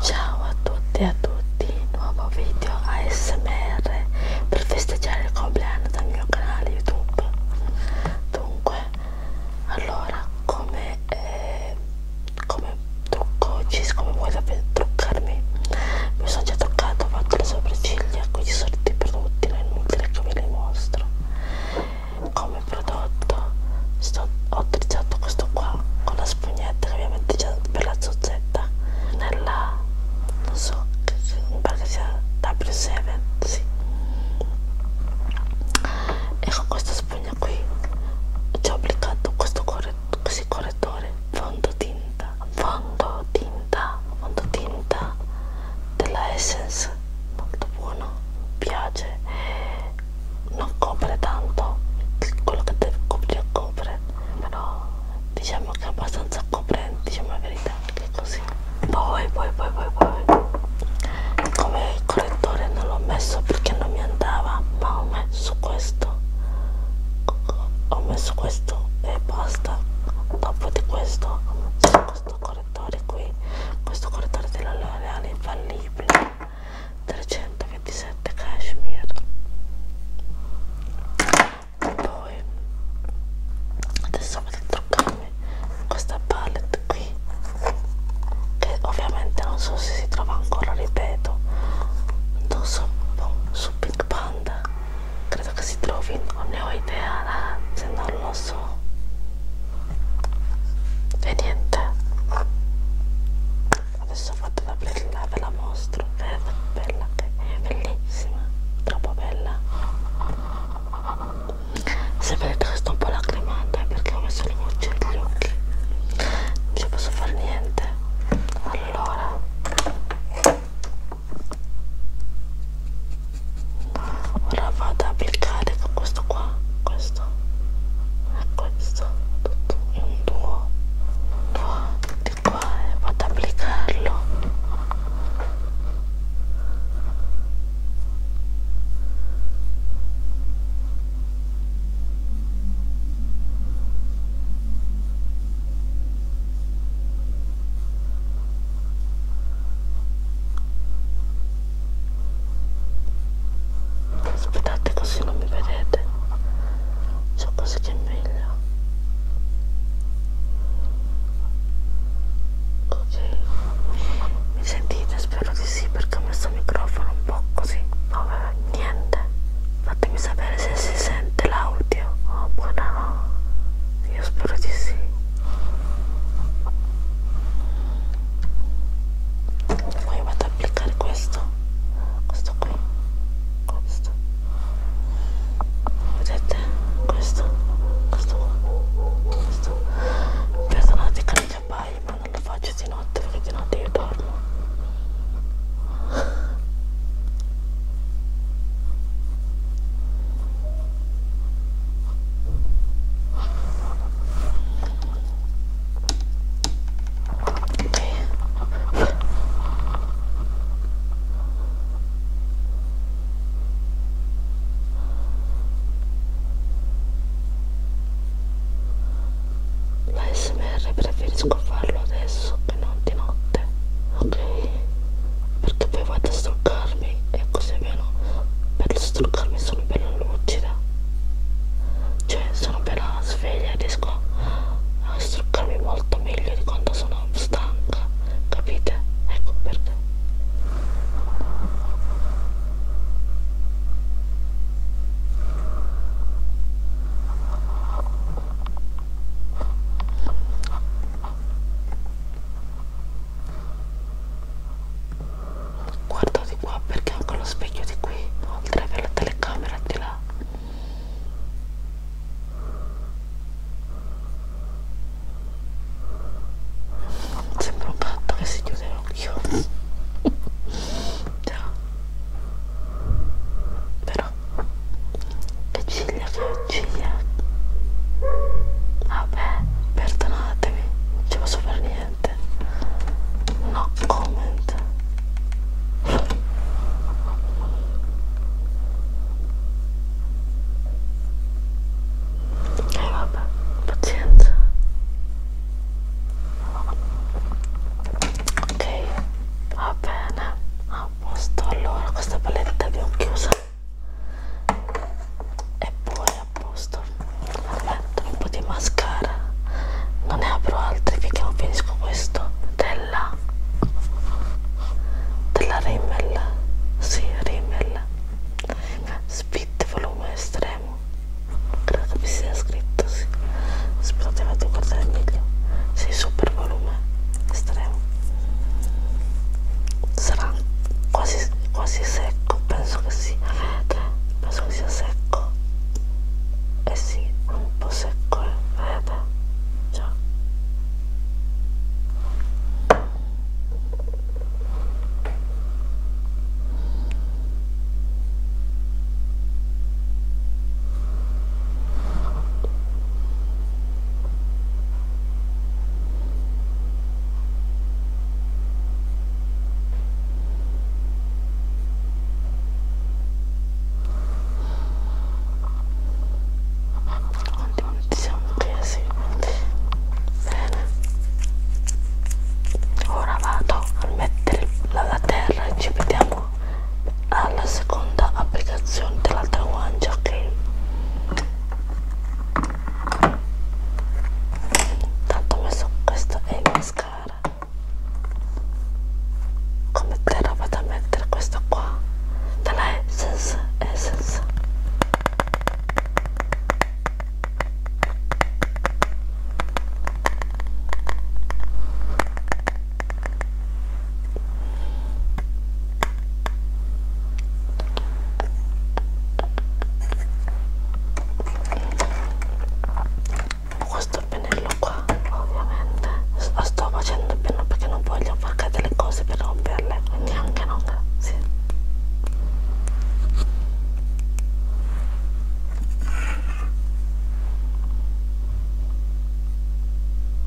Ciao a tutti e a tutti, nuovo video ASMR per festeggiare il compleanno del mio canale YouTube. Dunque, allora come, eh, come trucco oggi, siccome vuoi sapere truccarmi, mi sono già truccato, ho fatto le sopracciglia, quindi sono tutti prodotti, non è inutile che ve li mostro come prodotto sto, ho utilizzato questo qua con la spugnetta che abbiamo utilizzato per la zozzetta nella non so mi pare che sia W7 sì. e con questa spugna qui ci ho applicato questo correttore, così correttore fondotinta fondotinta fondotinta della Essence molto buono mi piace non copre tanto quello che deve coprire copre però diciamo che è abbastanza coprente diciamo la verità che così poi poi poi poi poi come correttore non l'ho messo perché non mi andava ma ho messo questo ho messo questo e basta dopo di questo ho messo questo correttore qui questo correttore della L'Oreale è infallibile 327 cashmere poi adesso vado a truccarmi questa palette qui che ovviamente non so se si trova ancora ripeto non so boh, su Pink Panda credo che si trovi non ne ho idea se non lo so e niente adesso ho fatto da bella ve la mostro è bella è bellissima troppo bella se vedete che sto un po' lacrimando è perché ho messo le voci negli occhi non ci posso fare niente allora ora vado ad applicare con questo qua questo e questo tutto un duo di qua e vado ad applicarlo aspettate così non mi vedete so così che è meglio ok mi sentite spero di sì perché ho messo il microfono un po' così vabbè niente fatemi sapere se si sente l'audio oppure oh, no io spero di sì poi vado ad applicare questo questo qui questo vedete questo questo qua questo perdonate che mi abbaglio ma non lo faccio di notte perché di notte io dormo la smr preferisco farlo adesso che non di notte ok perché poi vado a struccarmi e così almeno per struccarmi sono bella lucida cioè sono bella sveglia e riesco a struccarmi molto meglio di quando sono stanca capite? ecco perché guardo di qua perché ho anche lo specchio di qui oltre per la telecamera di là sembra un gatto che si chiude l'occhio però le ciglia che bugia vabbè perdonatemi non ci posso fare niente no comment e eh, vabbè pazienza ok va bene a posto allora questa palletta abbiamo chiusa e poi a posto aspetta un po' di mascara non ne apro altri finché non finisco questo della della Rimmel si sì, Rimmel Spit volume estremo credo che vi sia scritto sì. aspettate vado a guardare meglio si sì, super volume estremo sarà quasi, quasi secco penso che sì vedete penso che sia secco eh sì un po' secco eh. vedete già Ottimo che ci siamo presi bene ora vado a mettere la terra e ci vediamo alla seconda applicazione dell'altra guancia ok tanto ho messo questo e il mascara come terra vado a mettere questo qua della Essence Essence questo pennello qua ovviamente lo sto facendo bene perché non voglio far cadere le cose per romperle quindi anche no grazie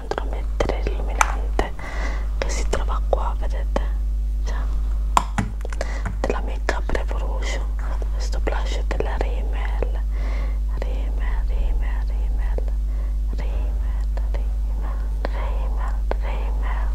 centro a mettere l'illuminante che si trova qua vedete cioè, della Makeup Revolution questo blush della Rimmel Rimmel, Rimmel, Rimmel Rimmel, Rimmel, Rimmel, Rimmel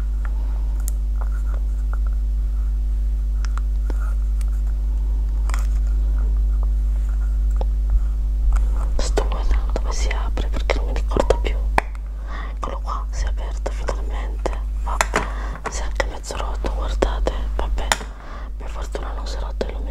Sto guardando dove si apre perché non mi ricordo più. Eccolo qua, si è aperto finalmente. Vabbè, si è anche mezzo rotto, guardate. Vabbè, per fortuna non si è rotto illuminante.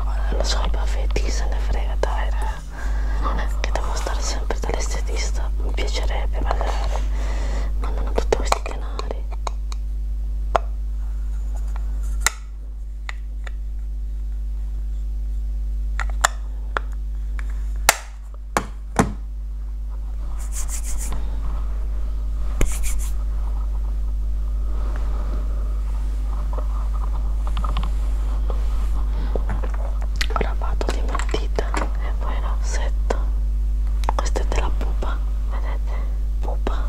Ora lo so, i baffetti se ne frega, dai, eh. Che devo stare sempre dall'estetista. Mi piacerebbe, ma non hanno tutti questi denari lavato di matita e poi l'ossetto questa è della pupa vedete pupa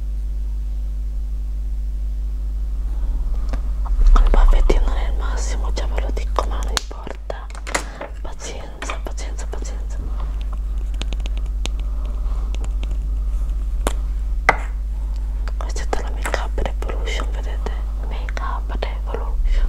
Con il baffettino non è il massimo, già ve lo dico, ma non importa. Pazienza, pazienza, pazienza. Questa è della Make Up Revolution, vedete? Make Up Revolution.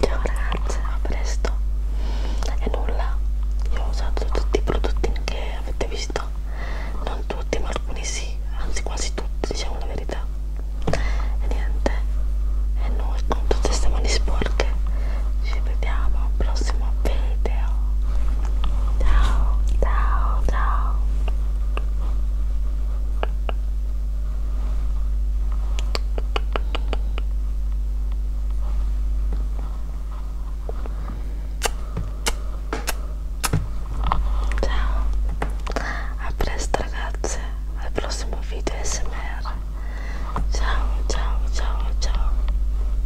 Ciao ragazze, a presto. E nulla, io ho usato tutti i prodotti che avete visto, non tutti, ma alcuni sì, anzi quasi tutti, diciamo la verità. E niente, e noi con tutte queste mani sporche ci vediamo al prossimo video ciao ciao ciao Ciao, a presto ragazze, al prossimo video SMR. Ciao, ciao, ciao, ciao.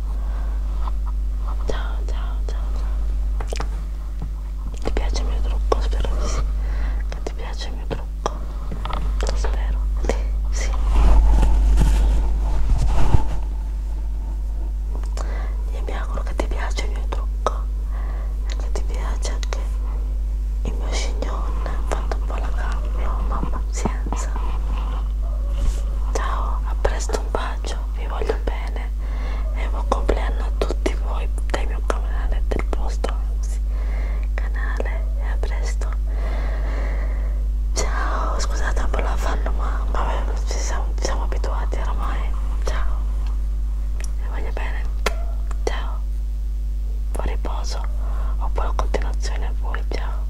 Ciao, ciao, ciao, ciao. Ti piace il mio trucco? Spero di sì. Che ti piace il mio trucco? Lo spero. Sì. Io mi auguro che ti piace il mio trucco. E che ti piace anche il mio scignone. Ho fatto un po' la gamba, mamma pazienza. Ciao, a presto, un bacio messaggio, vi voglio bene e buon compleanno a tutti voi del mio canale, del vostro anzi, canale e a presto ciao, scusate un po' la fanno ma vabbè, ci siamo, ci siamo abituati ormai ciao vi voglio bene ciao buon riposo o buona continuazione a voi ciao